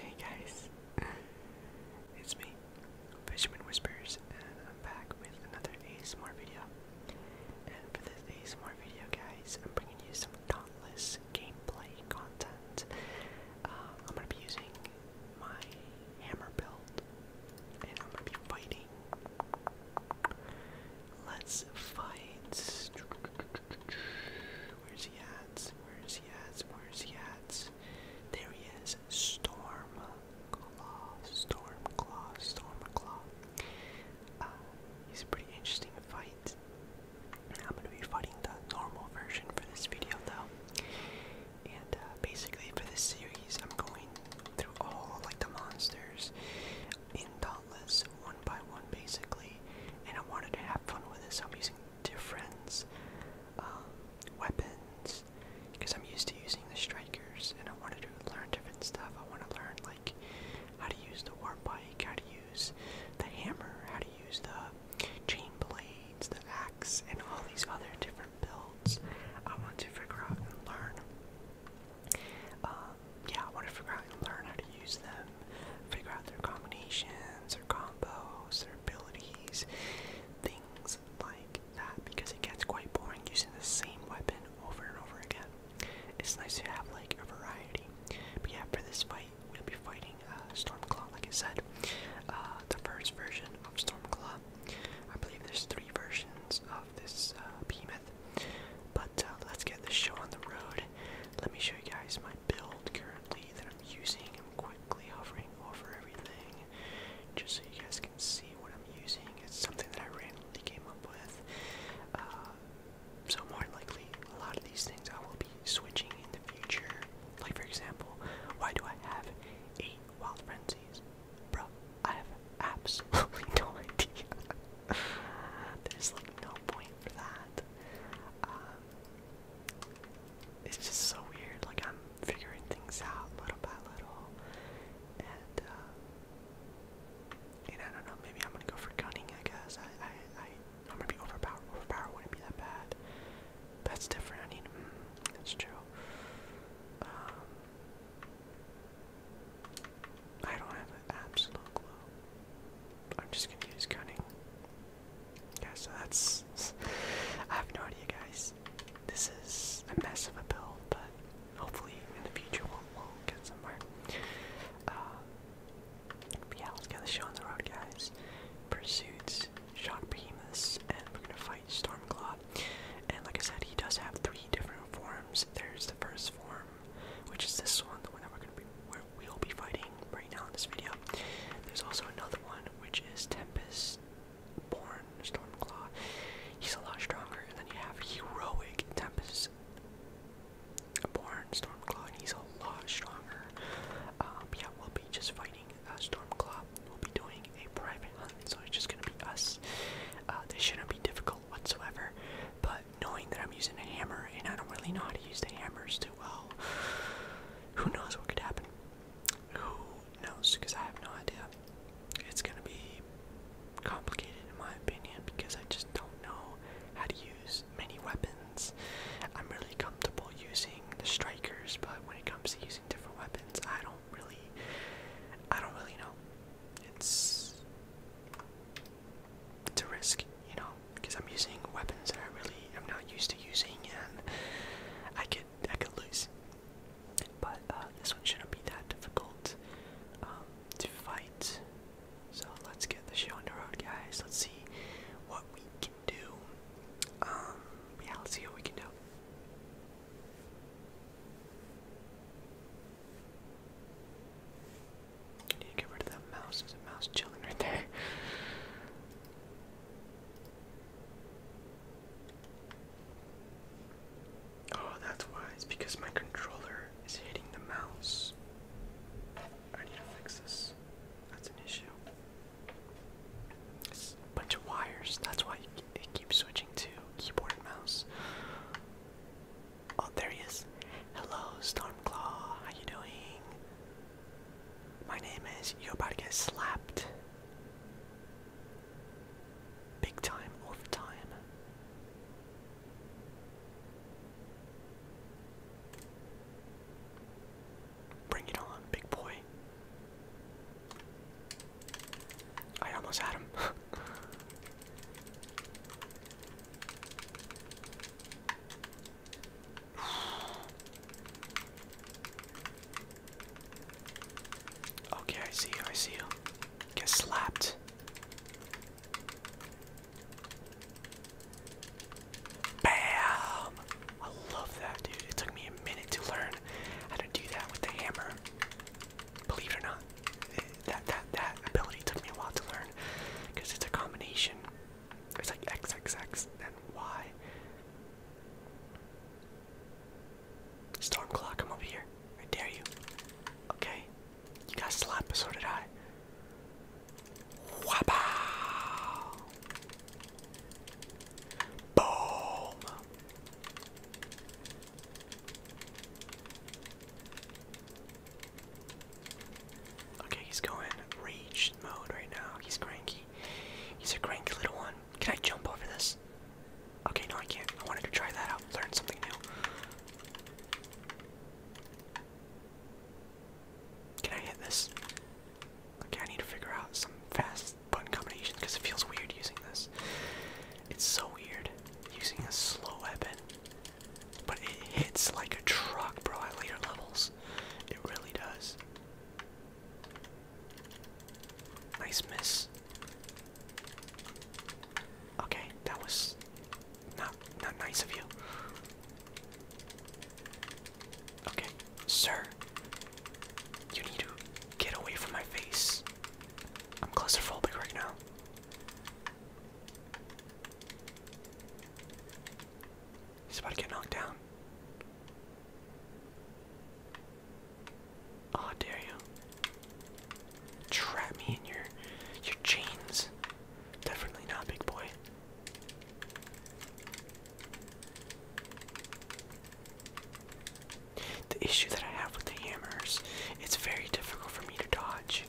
Hey guys, it's me, Fishman Whispers, and I'm back with another ASMR video. And for this more video, guys, I'm bringing you some dauntless gameplay content. Uh, I'm gonna be using my hammer build, and I'm gonna be fighting. Let's fight. Where's he at? Where's he at? Where's he at? There he is. Storm Claw. Storm uh, it's a pretty interesting fight. I'm gonna be fighting the normal version for this video though. And uh, basically for this series, I'm going through all like the monsters in Dauntless one by one basically. And I wanted to have fun with this. so I'm using different um, weapons because I'm used to using the strikers, and I wanted to learn different stuff. I want to learn like how to use the war bike, how to use the hammer, how to use the chain blades, the axe, and all these other different builds. I want to figure out and learn. Um, yeah, I want to figure out and learn how to use them, figure out their combinations, or combos, their abilities, things like that, because it gets quite boring using the same weapon over and over again it's nice to have like a variety. But yeah, for this fight, we'll be fighting uh, Stormclaw, like I said. Uh, the first version of Stormclaw. I believe there's three versions of this uh, But uh, let's get this show on the road. Let me show you guys my build currently that I'm using. I'm quickly hovering over everything just so you guys can see what I'm using. It's something that I ran came up with. Uh, so more likely, a lot of these things I will be switching in the future. Like for example, why do I have eight wild frenzies, bro? I have absolutely no idea. There's like no point for that. Um, it's just so weird. Like I'm figuring things out little by little, and uh, and I don't know, maybe I'm gonna go for gunning, I guess. I, I, I, I'm gonna be overpowered. Overpowered wouldn't be that bad. But that's different. I need, mm, that's true. Um, I don't have an absolute clue. I'm just gonna use gunning. Yeah, so that's. I have no idea, guys. This is a mess of a build, but hopefully in the future we'll, get somewhere. Uh, yeah, let's get the show on the road, guys. Pursuits, shot Behemoths, and we're gonna fight Stormclaw. And like I said, he does have three different forms. There's the first form, which is this one, the one that we're gonna be, where we'll be fighting right now in this video. There's also another one, which is Tempest Born Storm Stormclaw. He's a lot stronger. And then you have Heroic Tempest Born Stormclaw, and he's a lot stronger. Um, yeah, we'll be just fighting uh, Stormclaw. We'll be doing a private hunt, so it's just gonna be us. Uh, this shouldn't be difficult whatsoever. But knowing that I'm using a hammer and I don't really know how to use the hammers too well, who knows what could happen? Who knows? Because I have no idea it's gonna be complicated in my opinion because I just don't know how to use many weapons. I'm really comfortable using the strikers, but when it comes to using different weapons, I don't really, I don't really know. It's it's a risk, you know, because I'm using weapons that I really am not used to using, and I could I could lose. But uh, this one shouldn't be that difficult um, to fight. So let's get this show on the road, guys. Let's see what we can do. Um, yeah, let's see what we can do. need to get rid of that mouse. There's a mouse chilling right there. Oh, that's why. It's because my controller is hitting the mouse. I need to fix this. That's an issue. It's a bunch of wires. That's why it keeps switching to keyboard and mouse. Oh, there he is. Hello, Stormclaw. How you doing? My name is. You're about to get slapped. Big time, all time. Bring it on, big boy. I almost had him. Okay, I see you, I see you. Get slapped. Bam! I love that, dude. It took me a minute to learn how to do that with the hammer. Believe it or not, that that that ability took me a while to learn because it's a combination. It's like X X X and Y. Storm clock, I'm here. I dare you. Okay. You got slap a did I. Wow. Boom. Okay, he's going rage mode right now. He's cranky. He's a cranky little one. Can I jump over this? Okay, no, I can't. I wanted to try that out, learn something new. Can I hit this? Okay, I need to figure out some fast button combinations because it feels weird using this. It's so weird using a slow weapon, but it hits like a truck, bro, at later levels. It really does. Nice miss. Okay, that was not not nice of you. Okay, sir. You need to get away from my face. I'm claustrophobic right now. He's about to get knocked down. Oh, dare you? Trap me in your your chains. Definitely not, big boy. The issue that I have with the hammers, it's very difficult for me to dodge.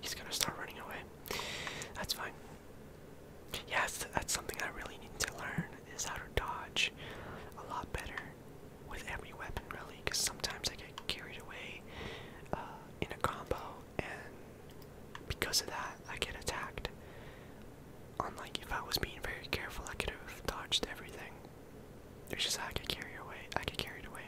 He's gonna start running away. That's fine. Yes, that's, something I really need to learn is how to dodge a lot better with every weapon, really, because sometimes I get carried away uh, in a combo, and because of that, I get attacked. Unlike if I was being very careful, I could have dodged everything. It's just I get carried away. I get carried away.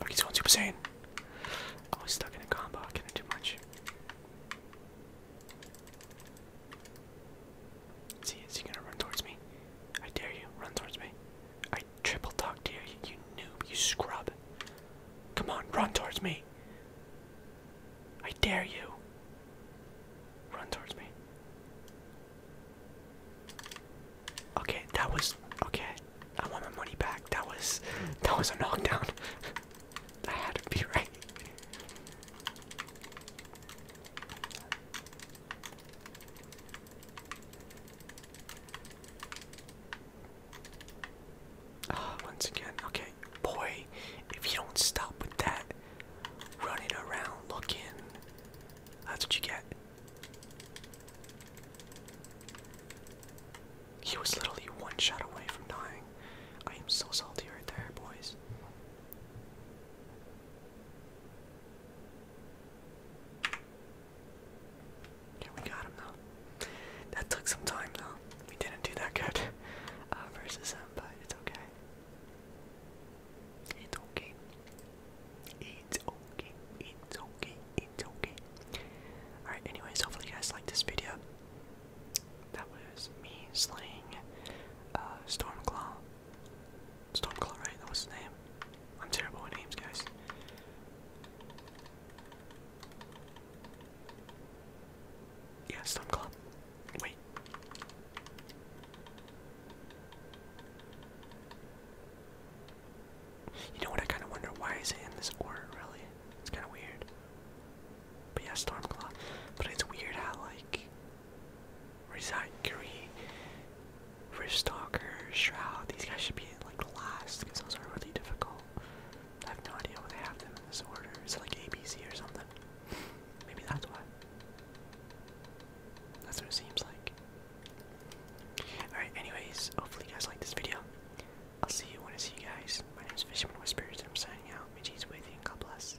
Oh, he's going Super Saiyan. I oh, stuck in a combo. I couldn't do much. See, is he gonna run towards me? I dare you, run towards me. I Triple talk to you, you, you noob, you scrub. Come on, run towards me. I dare you. Run towards me. Okay, that was okay. I want my money back. That was that was a knockdown. I had to be right. Ah, once again, okay, boy, if you don't stop with that running around looking, that's what you get. He was literally one shot away from dying. I am so salty right there, boys. Yeah, we got him though. That took some time though. We didn't do that good uh, versus him, but it's okay. It's okay. It's okay. It's okay. It's okay. Alright, anyways, hopefully you guys liked this video. That was me slaying uh, Stormclaw. Stormclaw, right? That was his name. I'm terrible with names, guys. Yeah, Stormclaw. Wait. You know what? I kind of wonder why is it in this order, really? It's kind of weird. But yeah, Stormclaw. But it's weird how, like, Resign Curie, Riftstalker, Shroud. These guys should be in like last because those are really difficult. I have no idea why they have them in this order. Is it like ABC or something? Maybe that's why. That's what it seems like. Alright, anyways, hopefully you guys liked this video. I'll see you when I see you guys. My name is Fisherman Whispers and I'm signing out. May Jesus with you and God bless.